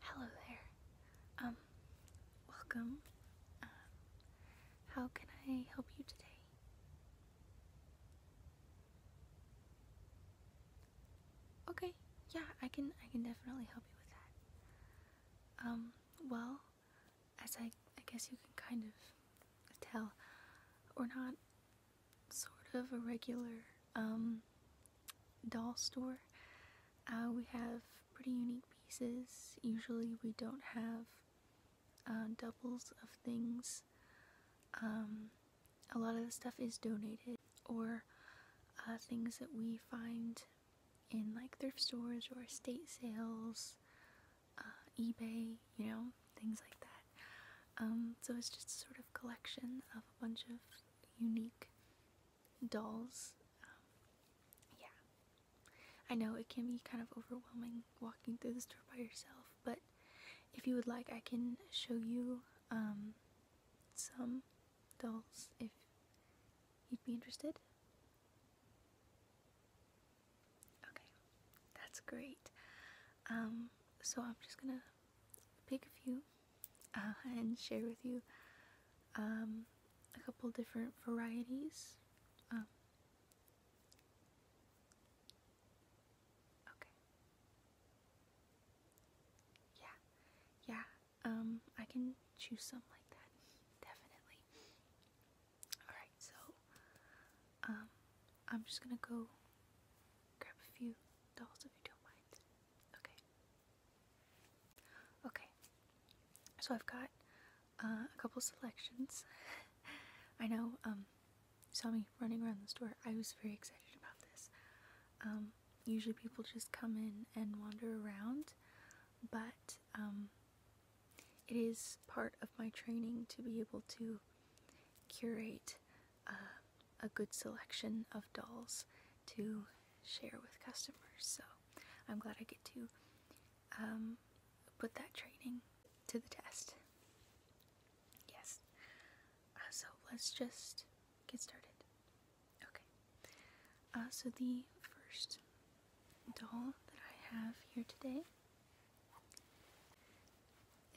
Hello there. Um, welcome. Uh, how can I help you today? Okay, yeah, I can I can definitely help you with that. Um, well, as I I guess you can kind of tell, we're not sort of a regular um doll store. Uh, we have pretty unique pieces. Usually we don't have uh, doubles of things. Um, a lot of the stuff is donated or uh, things that we find in like thrift stores or estate sales, uh, eBay, you know, things like that. Um, so it's just a sort of collection of a bunch of unique dolls. Um, yeah. I know it can be kind of overwhelming walking through the store by yourself, but if you would like, I can show you um, some dolls if you'd be interested. Okay, that's great. Um, so I'm just gonna pick a few uh, and share with you um, a couple different varieties. Um, okay. Yeah, yeah, um, I can choose some like that, definitely. Alright, so um, I'm just gonna go grab a few dolls if you don't mind. Okay. Okay. So I've got uh, a couple selections. I know um, you saw me running around the store. I was very excited about this. Um, usually people just come in and wander around, but um, it is part of my training to be able to curate uh, a good selection of dolls to share with customers. So I'm glad I get to um, put that training to the test. Yes. Uh, so let's just get started. Okay. Uh, so the first doll that I have here today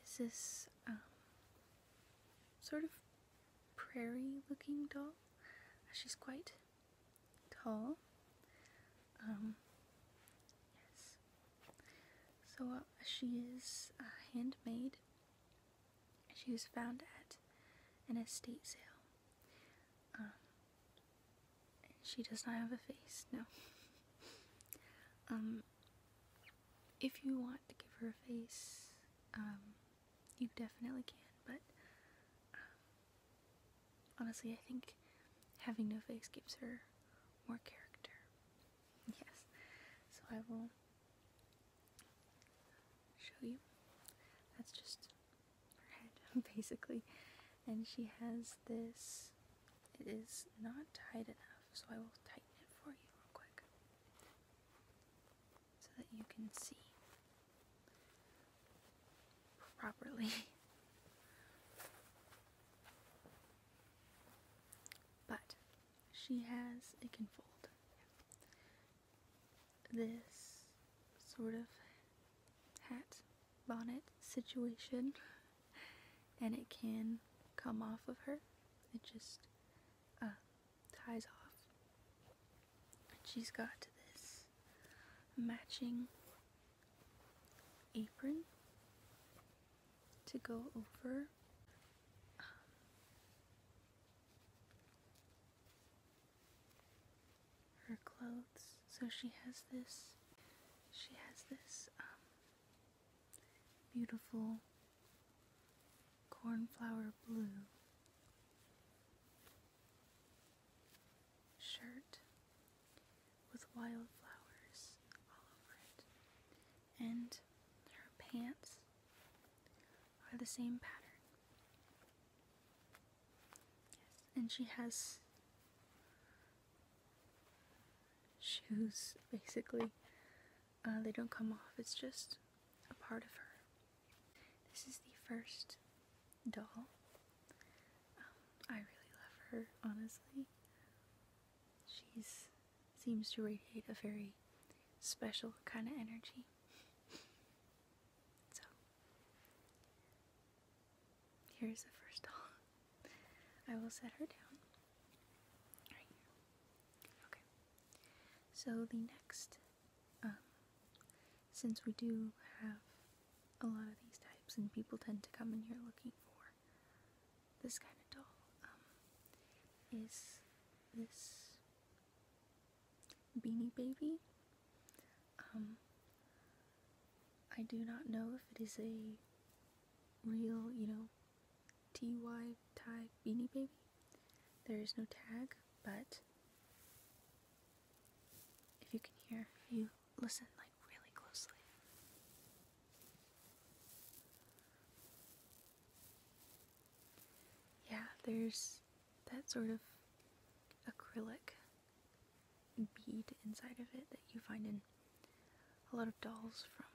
is this um, sort of prairie-looking doll. Uh, she's quite tall. Um, yes. So uh, she is handmade she was found at an estate sale. Um, and she does not have a face, no. um, if you want to give her a face, um, you definitely can, but um, honestly, I think having no face gives her more character. Yes. So I will show you. That's just her head, basically. And she has this, it is not tight enough, so I will tighten it for you real quick so that you can see properly. But she has, it can fold this sort of hat bonnet situation and it can come off of her. It just uh, ties off. She's got this matching apron to go over her clothes. So she has this, she has this um, beautiful cornflower blue shirt with wildflowers all over it, and her pants are the same pattern. and she has shoes basically. Uh, they don't come off, it's just a part of her. This is the first doll. Um, I really love her, honestly. She's seems to radiate a very special kind of energy. So, here's the first doll. I will set her down right here. Okay. So, the next, um, since we do have a lot of these types, and people tend to come in here looking for this kind of doll, um, is this Beanie Baby. Um, I do not know if it is a real, you know, TY tie Beanie Baby. There is no tag, but if you can hear, you listen like really closely. Yeah, there's that sort of acrylic bead inside of it that you find in a lot of dolls from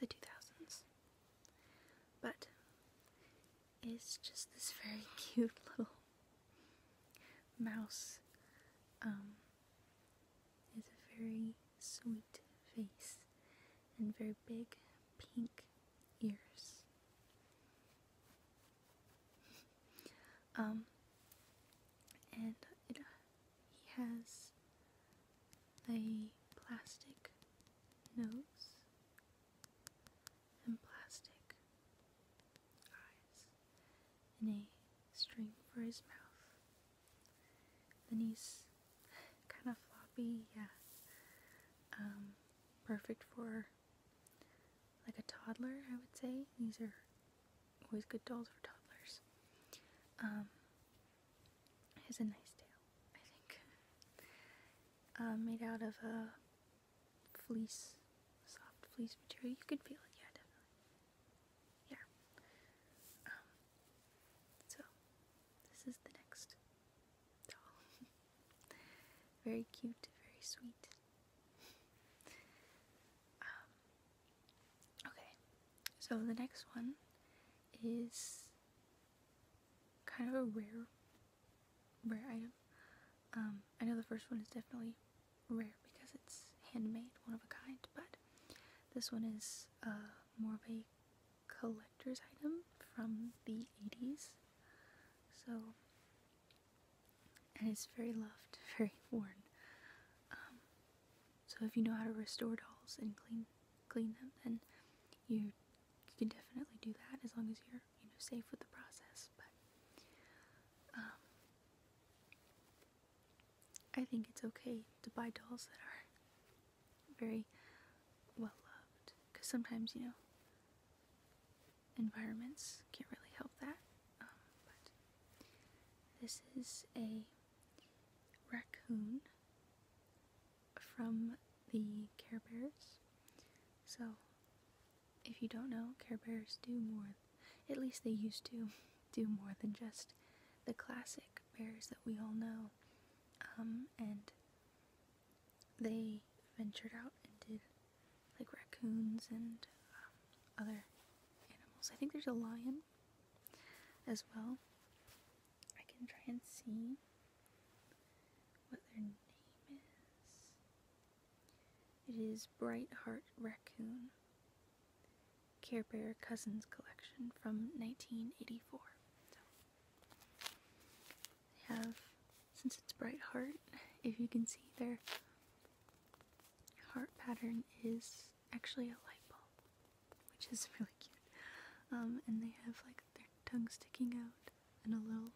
the 2000s. But it's just this very cute little mouse. Um, a very sweet face and very big pink ears. um, and uh, he has a plastic nose and plastic eyes and a string for his mouth. Then he's kind of floppy, yeah. Um, perfect for like a toddler, I would say. These are always good dolls for toddlers. Um, has a nice tail, I think. Uh, made out of a fleece, soft fleece material. You can feel it, yeah, definitely. Yeah. Um, so, this is the next doll. very cute, very sweet. Um, okay, so the next one is kind of a rare, rare item. Um, I know the first one is definitely rare because it's handmade, one of a kind, but this one is uh, more of a collector's item from the 80s. So, and it's very loved, very worn. Um, so if you know how to restore dolls and clean clean them, then you can definitely do that as long as you're you know safe with the process. But um, I think it's okay to buy dolls that are very well loved. Because sometimes, you know, environments can't really help that. Um, this is a raccoon from the Care Bears. So, if you don't know, Care Bears do more, at least they used to do more than just the classic bears that we all know um, and they ventured out and did like raccoons and um, other animals. I think there's a lion as well. I can try and see what their name is. It is Bright Heart Raccoon Care Bear Cousins Collection from 1984. They have, since it's bright heart, if you can see their heart pattern is actually a light bulb, which is really cute. Um, and they have like their tongue sticking out and a little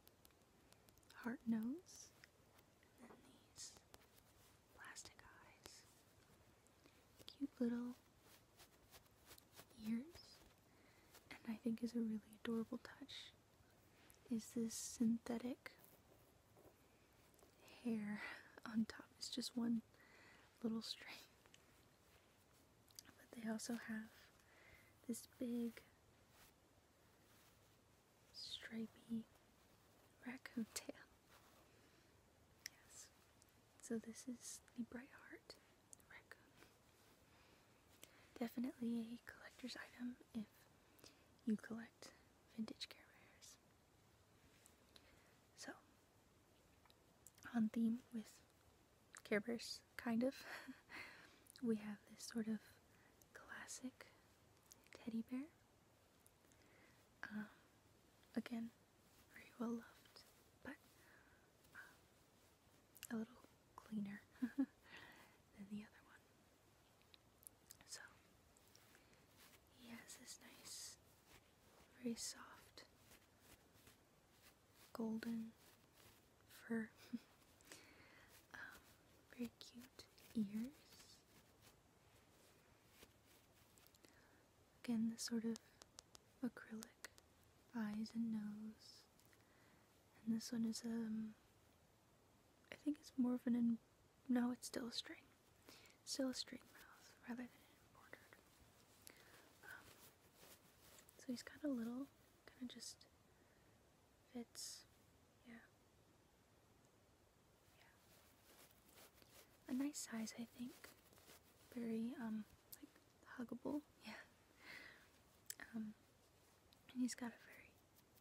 heart nose, and then these plastic eyes, cute little ears and I think is a really adorable touch is this synthetic hair on top. It's just one little string. But they also have this big stripy raccoon tail. Yes. So this is the Bright Heart. Definitely a collector's item if you collect vintage Care Bears. So, on theme with Care Bears, kind of, we have this sort of classic teddy bear. Um, again, very well loved, but um, a little cleaner than the other one. So he has this nice, very soft, golden fur, um, very cute ears. Again, this sort of acrylic eyes and nose. And this one is, um, I think it's more of an, no, it's still a string. still a string mouth rather than an um, So he's got a little, kind of just fits, yeah. Yeah. A nice size, I think. Very, um, like huggable, yeah. Um, and he's got a very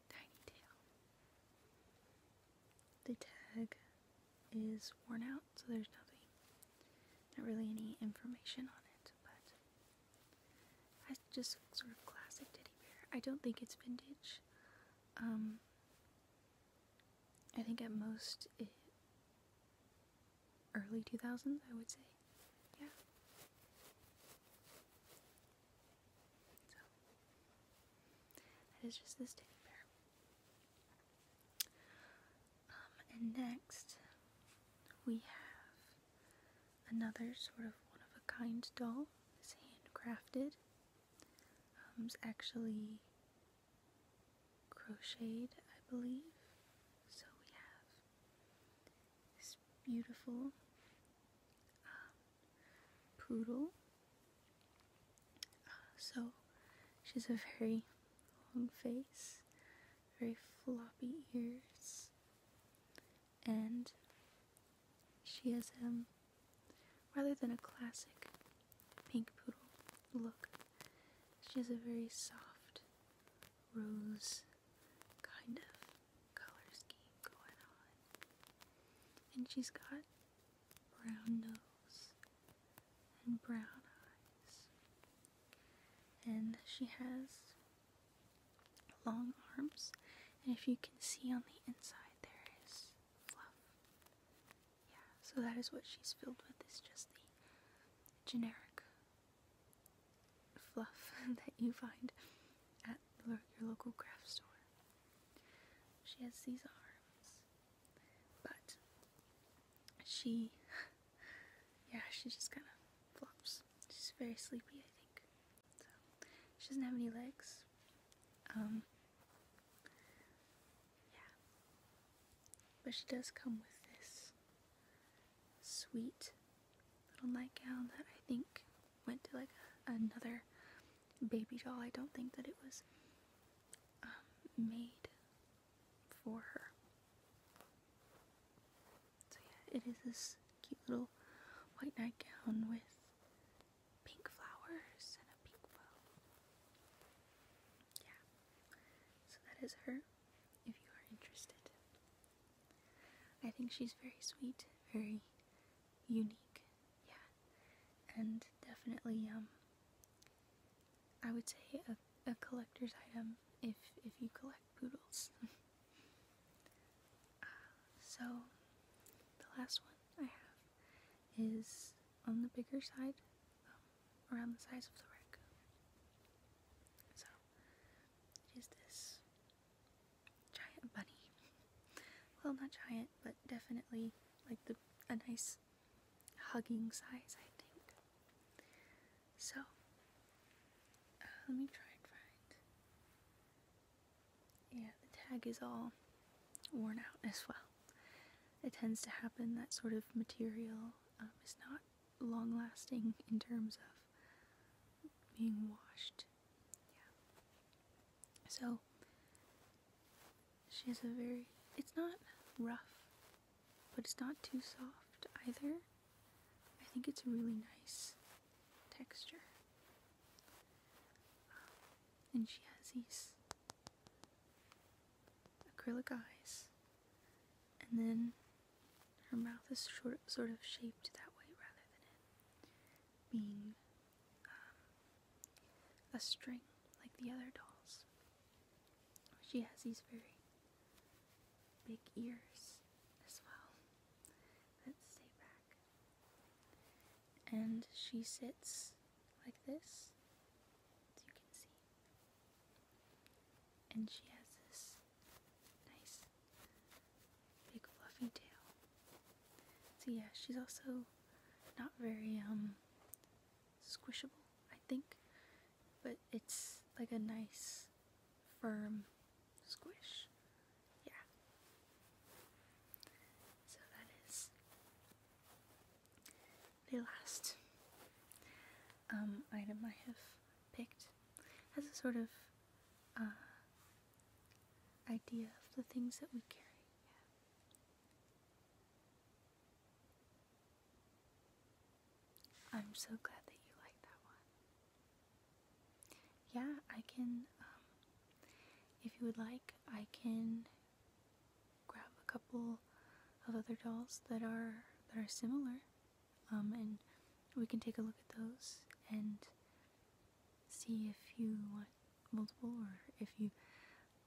tiny tail. The tag is worn out, so there's nothing, not really any information on it, but I just sort of classic teddy bear. I don't think it's vintage. Um, I think at most it early 2000s, I would say. Yeah. So, that is just this teddy bear. Um, and next, we have another sort of one of a kind doll. It's handcrafted. Um, it's actually crocheted, I believe. So we have this beautiful um, poodle. Uh, so she's a very long face, very floppy ears, and she is um rather than a classic pink poodle, look. She has a very soft rose kind of color scheme going on. And she's got brown nose and brown eyes. And she has long arms. And if you can see on the inside, there is fluff yeah, so that is what she's filled with, It's just the generic fluff that you find at your local craft store. She has these arms, but she, yeah, she just kind of flops. She's very sleepy, I think. So, she doesn't have any legs. Um, yeah. But she does come with this sweet little nightgown that I think went to like another baby doll. I don't think that it was um, made for her. So yeah, it is this cute little white nightgown with pink flowers and a pink bow. Yeah. So that is her, if you are interested. I think she's very sweet, very unique, yeah. And definitely, um, I would say a, collector's item if, if you collect poodles. Uh, so, the last one I have is on the bigger side. Um, around the size of the wreck, So, it is this giant bunny. well, not giant, but definitely like the a nice hugging size, I think. So, uh, let me try and find. Yeah, the tag is all worn out as well it tends to happen that sort of material um, is not long lasting in terms of being washed. Yeah. So she has a very, it's not rough, but it's not too soft either. I think it's a really nice texture. Um, and she has these acrylic eyes, and then her mouth is short, sort of shaped that way rather than it being um, a string like the other dolls. She has these very big ears as well that stay back. And she sits like this, as you can see. And she has this nice big fluffy tail. So yeah, she's also not very um squishable, I think. But it's like a nice firm squish. Yeah. So that is the last um, item I have picked has a sort of uh, idea of the things that we carry. Yeah. I'm so glad that you like that one. Yeah, I can, um, if you would like, I can grab a couple of other dolls that are that are similar, um, and we can take a look at those and see if you want multiple or if you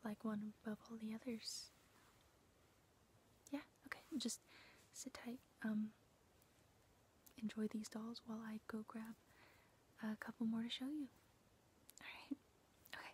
like one above all the others. Yeah, okay, just sit tight. Um, enjoy these dolls while I go grab a couple more to show you. Alright, okay.